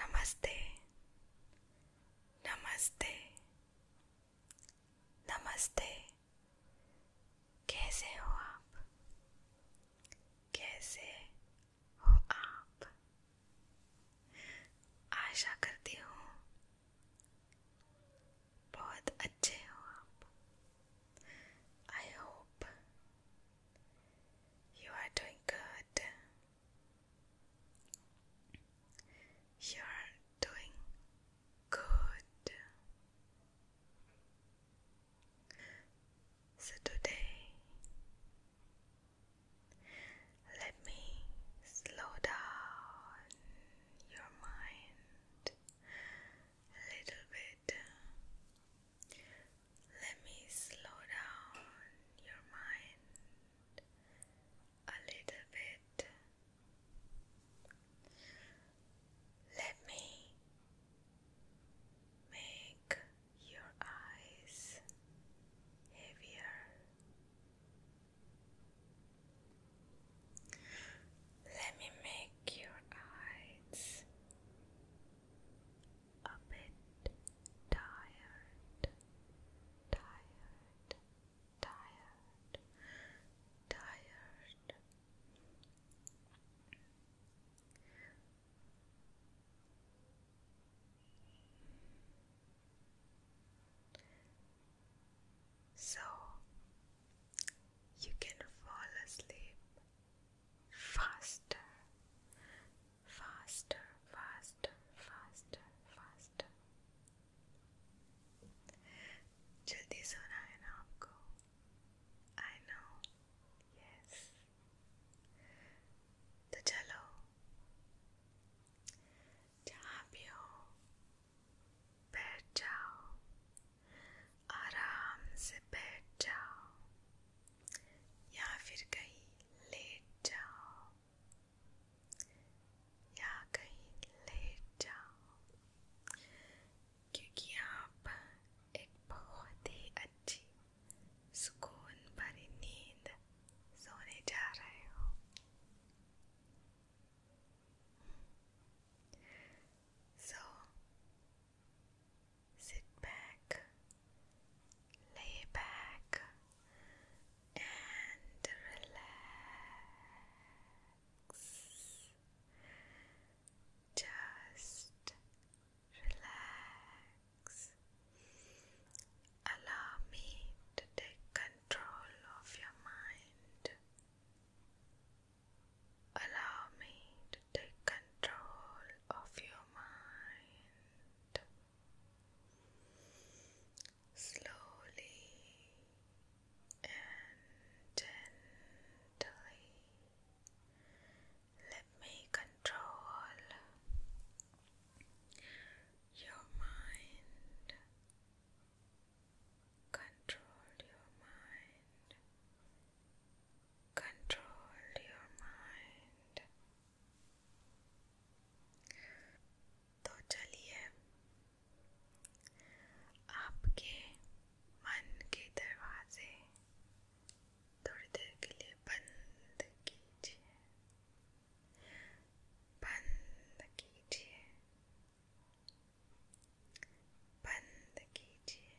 नमस्ते नमस्ते नमस्ते कैसे हो आप कैसे हो आप आशा करती हूँ बहुत अच्छे हो आप I hope You are doing good. You are doing good. So today, let me slow down your mind a little bit let me slow down your mind a little bit. Let me make your eyes heavier. Let me make your eyes a bit tired, tired, tired, tired. So you can fall asleep faster, faster, faster, faster, faster. जल्दी सोना है ना आपको? I know, yes. तो चलो, जहाँ भी हो, आराम से बैठ जाओ या फिर कहीं लेट जाओ या कहीं लेट जाओ क्योंकि आप एक बहुत ही अच्छी सुकून भरी नींद सोने जा रहे हो So sit back, lay back, and relax. Just relax. Allow me to take control of your mind. Allow me to take control of your mind. Slowly and gently, let me control your mind. Control your mind. control your mind तो चलिए आपके मन के दरवाजे थोड़ी देर के लिए बंद कीजिए बंद कीजिए बंद कीजिए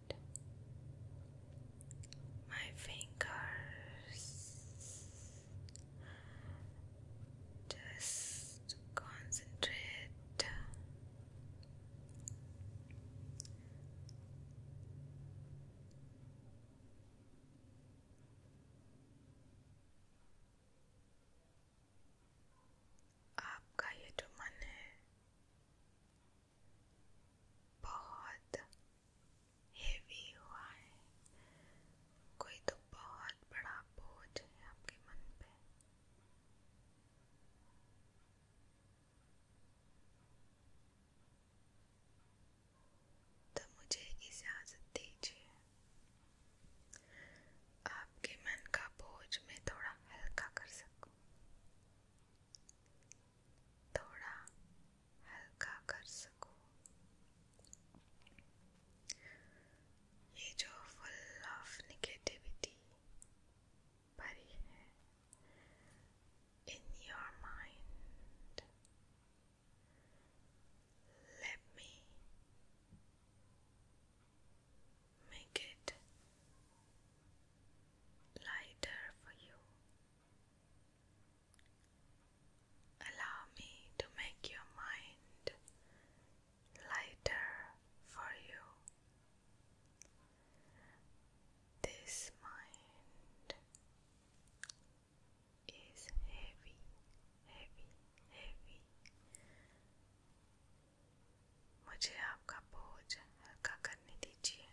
my fingers. Just concentrate. आपका ये जो मन बहुत हेवी हुआ है कोई तो बहुत बड़ा बोझ है आपके मन पे तो मुझे इजाजत दीजिए आपके मन का बोझ मैं थोड़ा हल्का कर सकूं थोड़ा हल्का कर सकूं ये जो फुल ऑफ निगेटिविटी भरी in your mind let me make it lighter for you Allow me to make your mind lighter for you. This mind is heavy, heavy, heavy. मुझे आपका बोझ हल्का करने दीजिए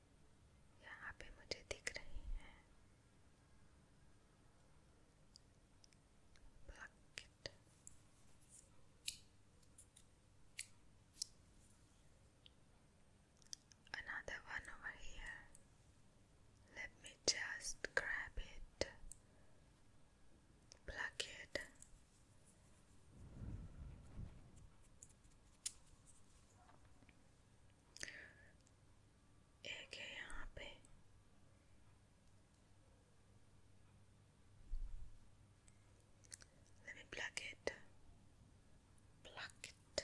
Yeah, i मुझे दिख रही है Okay. है let me plug it plug it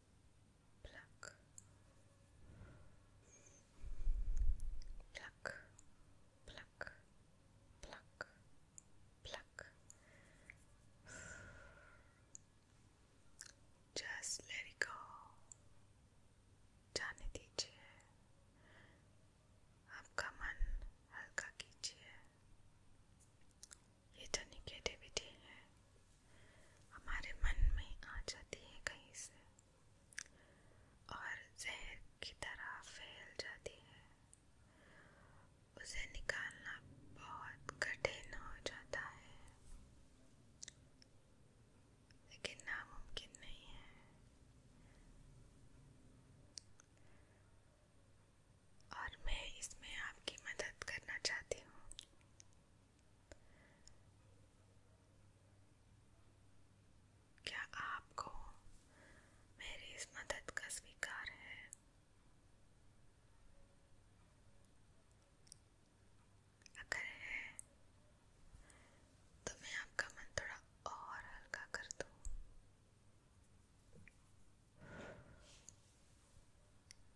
pluck, pluck, pluck, pluck, pluck. Just let it go. जाने दीजिए आपका मन हल्का कीजिए ये जो तो निगेटिविटी है हमारे मन में आ जाती है कहीं से और जहर की तरह फैल जाती है उसे निकालना बहुत कठिन हो जाता है लेकिन नामुमकिन नहीं है और मैं इसमें आपकी मदद करना चाहती हूँ क्या आपको मेरी इस मदद का स्वीकार है अगर है तो मैं आपका मन थोड़ा और हल्का कर दूं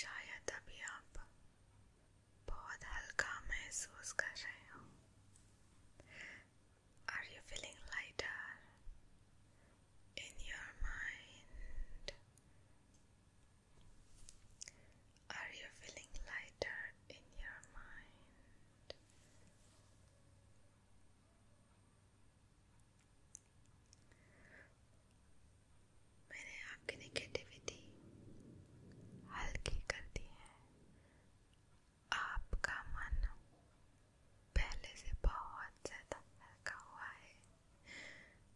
शायद अभी आप बहुत हल्का महसूस कर रहे हो Are you feeling lighter? in your mind? Are you feeling lighter in your mind? मैंने आपकी नेगेटिविटी हल्की कर दी है आपका मन पहले से बहुत ज्यादा हल्का हुआ है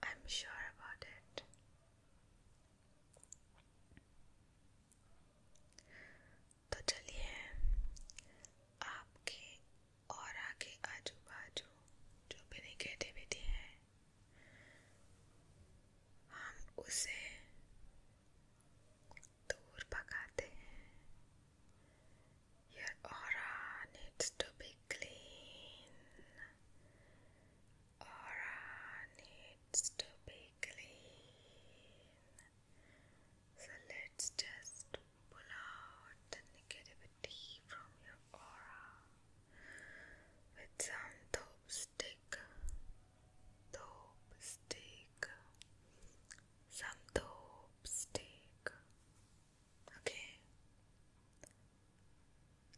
I'm sure about it. तो चलिए आपके और आगे आजू बाजू जो भी निगेटिविटी है हम उसे दूर भगाते हैं Your aura needs to be clean. Aura needs to be clean. So let's just pull out the negativity from your aura with some dope stick. Dope stick. Some dope stick. Okay.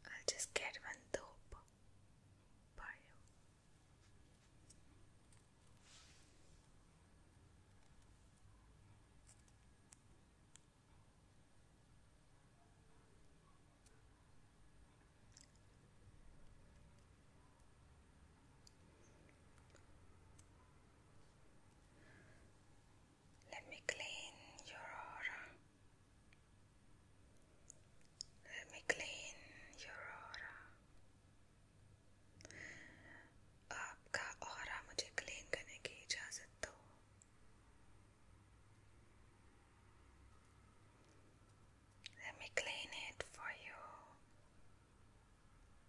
I'll just get one dope for let me clean your aura. Let me clean your aura. आपका aura मुझे clean करने की इजाज़त दो. Let me clean it for you.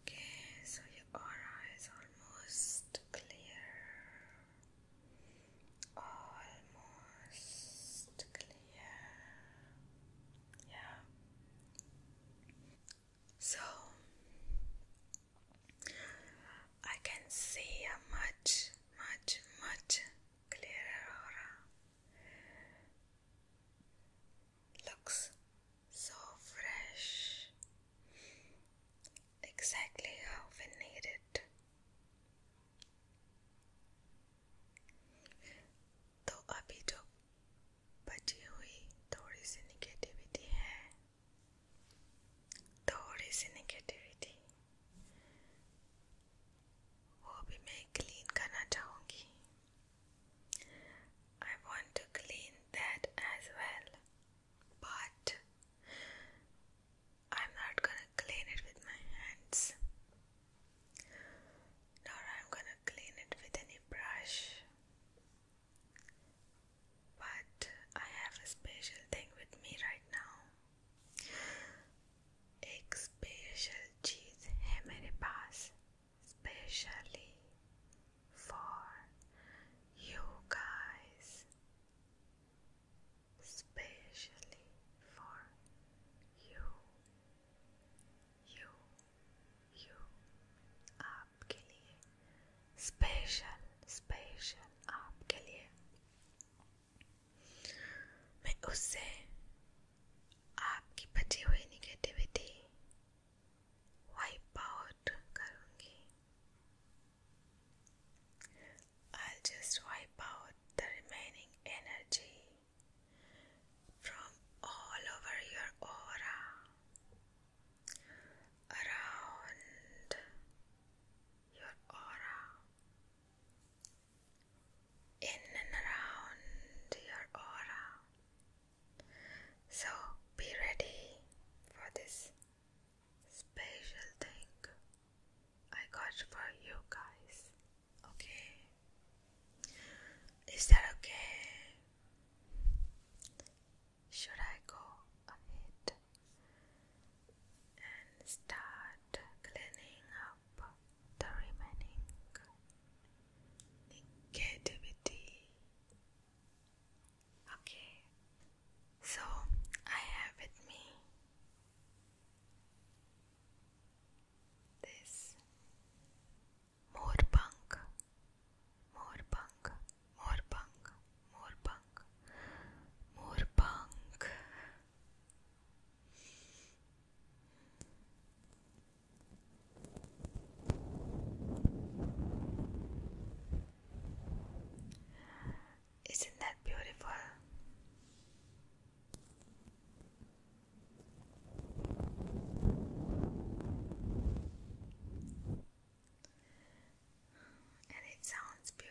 Okay, so your aura is almost clear. Almost clear. Yeah. So I can see a much, much, much clearer aura. Looks so fresh, exactly how we need it. तो अभी जो बची हुई थोड़ी सी negativity है थोड़ी सी negativity I want to clean that as well but I'm not gonna clean it with my hands nor I'm gonna clean it with any brush but I have a special thing with me right now एक special चीज़ है मेरे पास specially for you guys specially for you you you आपके लिए special special आपके लिए मैं उससे i I'll just wipe out the remaining energy from all over your aura around your aura in and around your aura. So be ready for this special thing I got for you guys. Okay? Is that okay? Should I go ahead and start cleaning up the remaining negativity. Okay, so I have with me this moorbank, moorbank, moorbank, moorbank, moorbank. Isn't that beautiful? And it sounds beautiful.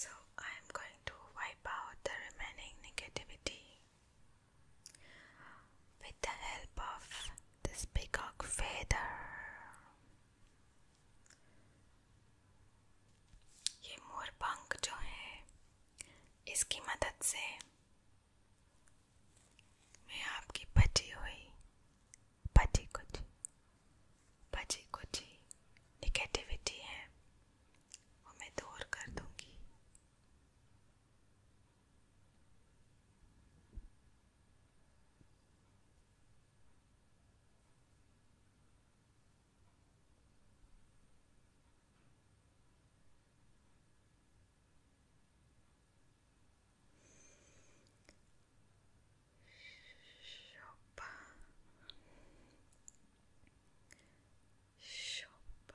So I am going to wipe out the remaining negativity with the help of this peacock feather. ये मोर पंख जो है इसकी मदद से मैं आपकी बची हुई बची कुछ बची कुछ निगेटिविटी है वो मैं दूर कर दूंगी shop shop shop shop Shop,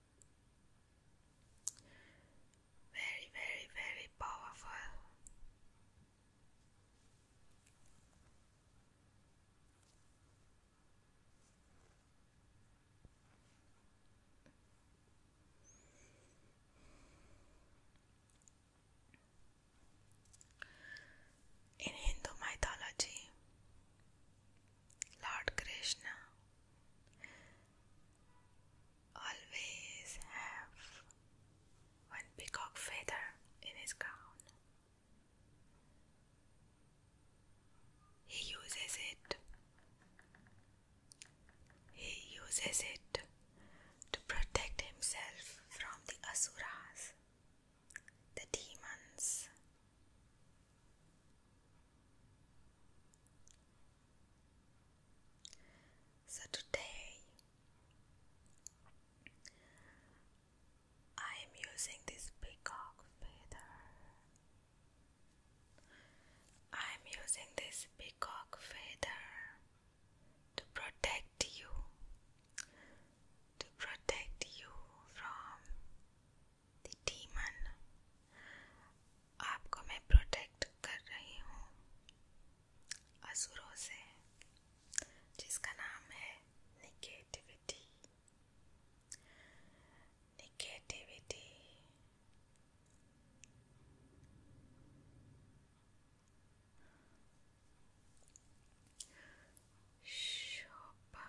Very, very, very powerful. In Hindu mythology, Lord Krishna always have one peacock feather in his crown. He uses it. He uses it to protect himself from the asuras, the demons so today I am using this peacock feather. I am using this peacock feather to protect you, to protect you from the demon आपको मैं protect कर रही हूँ असुरों से जिसका नाम है निगेटिविटी निगेटिविटी शोभा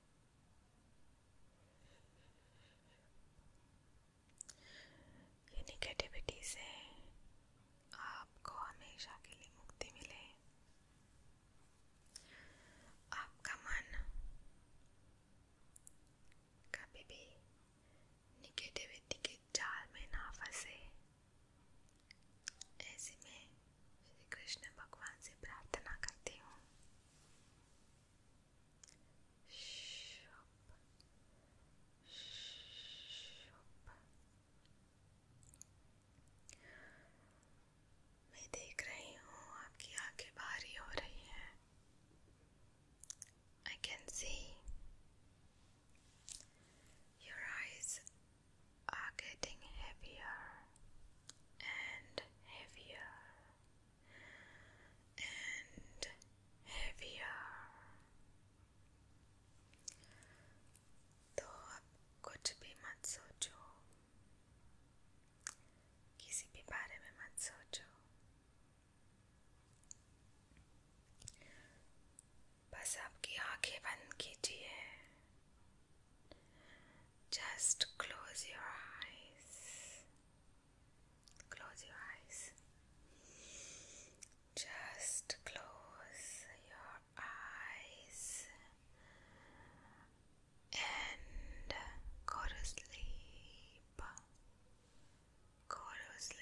ये निगेटिविटी से आपको हमेशा के लिए मुक्ति मिले आपका मन कभी भी निगेटिविटी के जाल में ना फंसे ऐसे में श्री कृष्ण भगवान से प्रार्थना करती हूँ शुभ शुभ मैं देख रही हूँ आपकी आंखें भारी हो रही हैं I can see your eyes are getting heavier and heavier and heavier तो आप कुछ भी मत सोचो किसी भी बारे में मत सोचो बस आपकी आंखें बंद कीजिए Just close your eyes. Close your eyes. Just close your eyes and go to sleep. Go to sleep.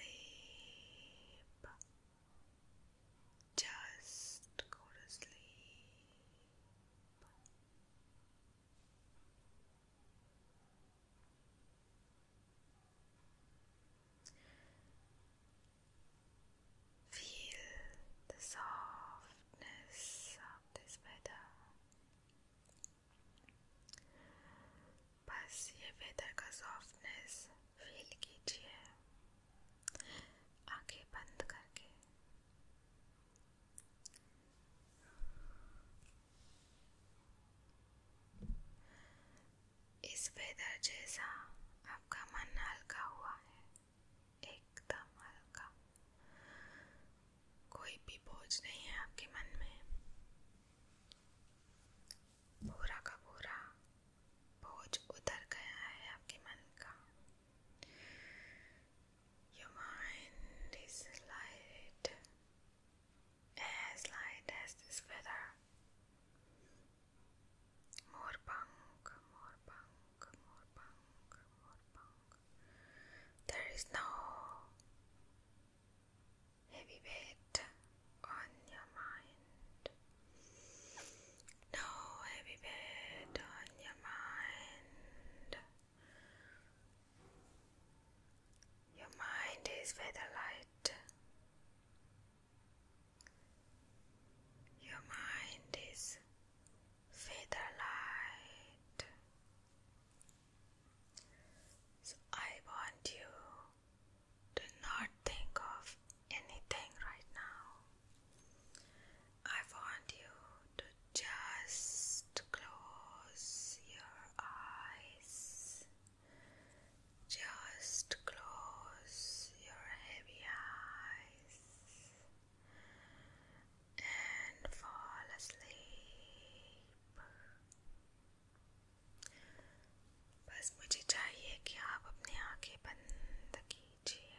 Just go to sleep. Feel the softness of this weather. बस ये वेदर का सॉफ्टनेस फील कीजिए आंखें बंद करके इस weather जैसा आपका मन हल्का हुआ है एकदम हल्का कोई भी बोझ नहीं है आपके मन में पूरा का पूरा बोझ उतर गया है आपके मन का Your mind is light as light as this feather. More punk, more punk, more punk, more punk. There is no heavy weight on your mind. No heavy bit on your mind. Your mind is where light. Your mind is feather light. So I want you to not think of anything right now. I want you to just close your eyes. Just close your heavy eyes and fall asleep. बस मुझे चाहिए कि आप अपनी आंखें बंद कीजिए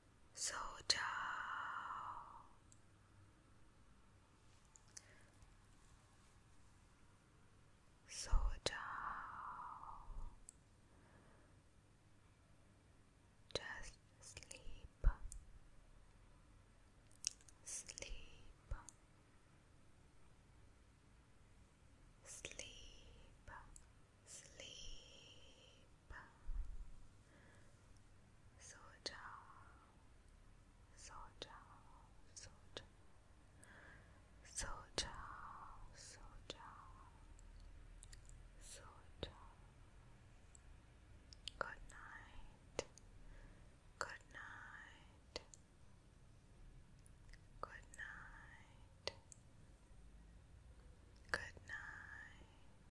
So ciao. So ciao. Just sleep. Sleep. Sleep. Sleep. So down, so down, so down, Good night, good night, good night, good night.